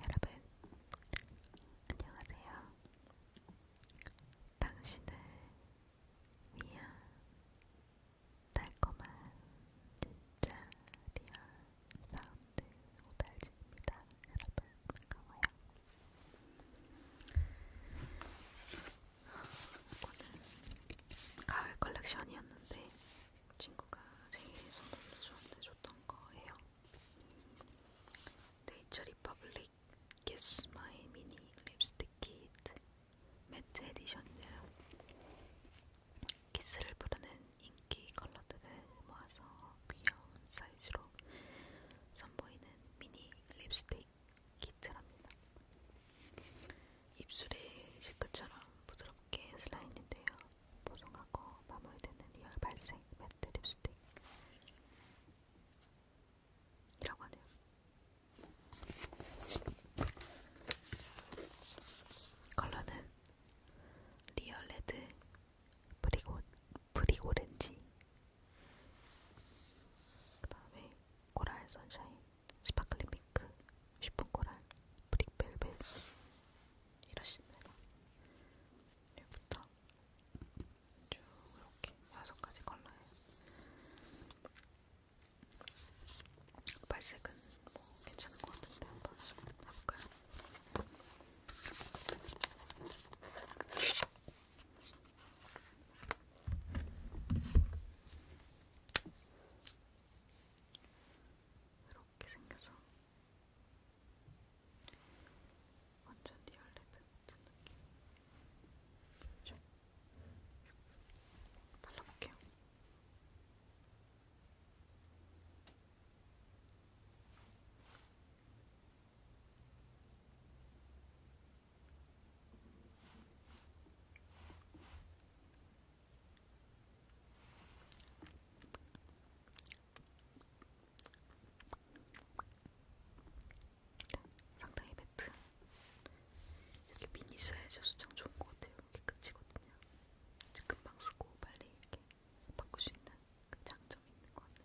여러분, 안녕하세요. 당신을 위한 달콤한 진짜 리얼 사운드 오달지입니다. 여러분, 반가워요. 이거는 가을 컬렉션이었는데 친구가 생일에 선물로 저한테 줬던 거예요. 네이처 리퍼블릭 Kiss My Mini Lipstick Kit 매트 에디션이네요. 키스를 부르는 인기 컬러들을 모아서 귀여운 사이즈로 선보이는 미니 립스틱 키트랍니다. 입술이 실크처럼 부드럽게 슬라인인데요. 보송하고 마무리되는 리얼 발색 매트 립스틱. 이라고 하네요. 컬러는 리얼 레드, 브리고 브릭오렌지 그 다음에 코랄 선샤인 스파클링 핑크 쉬픈 코랄 브릭벨벳 이러십니다 여기부터 쭉 이렇게 여섯 가지 컬러예요 발색은 뭐 괜찮은 것 같은데 한번 해볼까요? 이렇게 생겨서 완전 리얼레드 같은 느낌 좀 발라볼게요. 이렇게 상당히 매트. 이렇게 미니 사이즈여서 참 좋은 것 같아요. 이게 끝이거든요. 금방 쓰고 빨리 이렇게 바꿀 수 있는 그 장점이 있는 것 같아요.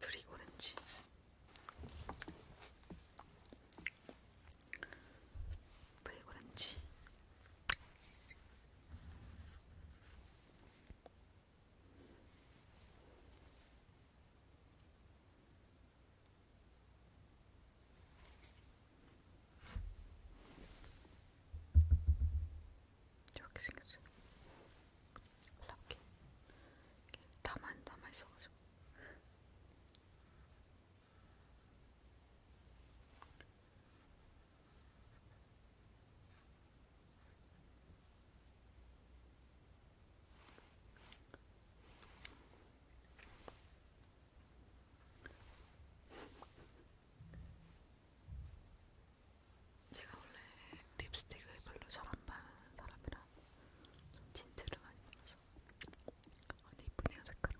브릭오렌지 브릭오렌지 이렇게 생겼어요. 이렇게 다만 남아 있어가지고 제가 원래 립스틱을 별로 잘 안 바르는 사람이라 좀 틴트를 많이 발라서 아니 이쁘네요 색깔.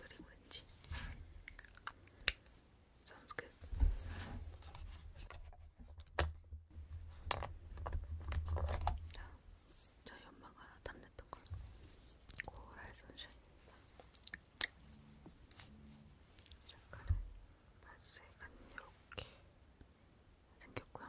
그리고 렌지. Sounds good. 자, 저희 엄마가 탐냈던 걸 코랄 선샤인입니다. 색깔은 발색은 이렇게 생겼고요.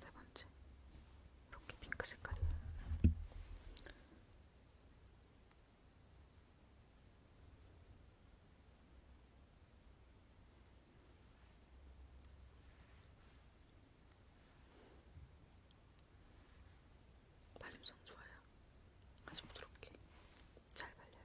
네 번째 이렇게 핑크 색깔이에요. 발림성 좋아요. 아주 부드럽게 잘 발려요.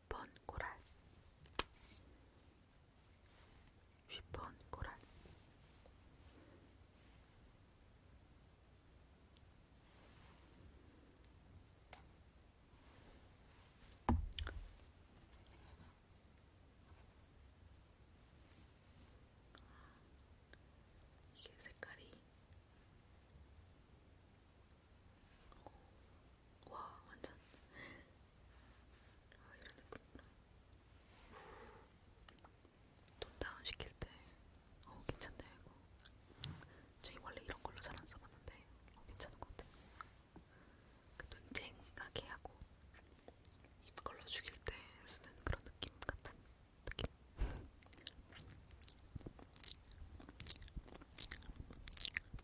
10번 고랄 10번 고랄 이게 색깔이 와 완전 아 이런 느낌으로 톤 다운 시킬 때 어 괜찮네 이거 저희 원래 이런 걸로 잘 안 써봤는데 어 괜찮은 것 같아 그 눈쟁하게 하고 이걸로 죽일 때 쓰는 그런 느낌 같은 느낌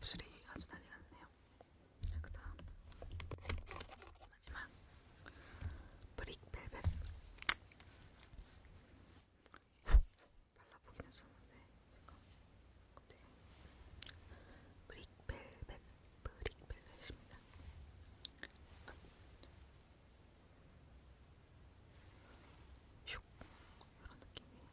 입술이 아주 난리 났네요. 자, 그 다음. 마지막. 브릭벨벳. 발라보긴 했었는데, 제가. 근데. 브릭벨벳. 브릭벨벳입니다. 슉 이런 느낌이에요.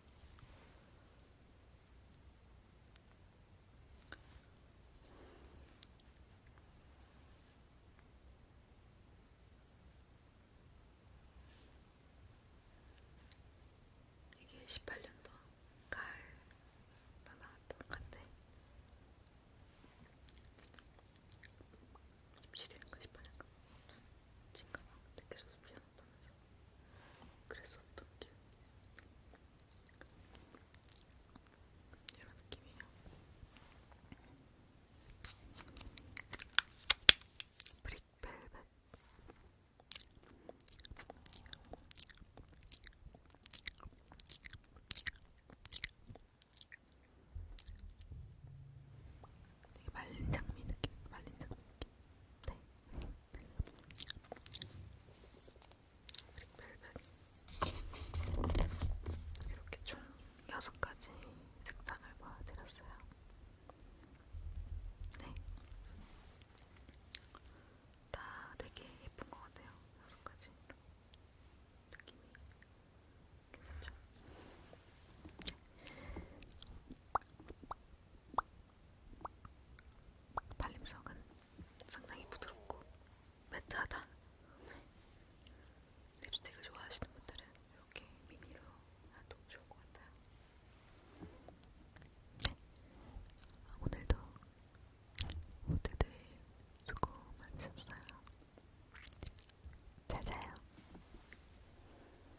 이게 18년도 가을로 나왔던 건데 입시되는 거 싶어니까 진짜 막 느껴져서 미안해 그래서 어떤 느낌? 이런 느낌이에요. 브릭벨벳 되게 말린 장미 느낌, 말린 장미 느낌. 네. 벨벳. 이렇게 총 6가지 색상을 보여드렸어요. 네. 다 되게 예쁜 것 같아요. 6가지 느낌이. 괜찮죠? 발림성은 상당히 부드럽고 매트하다. 네. 립스틱을 좋아하시는 분들은 이렇게 미니로 놔도 좋을 것 같아요. 네. 오늘도 모두들 수고 많으셨어요. 잘 자요.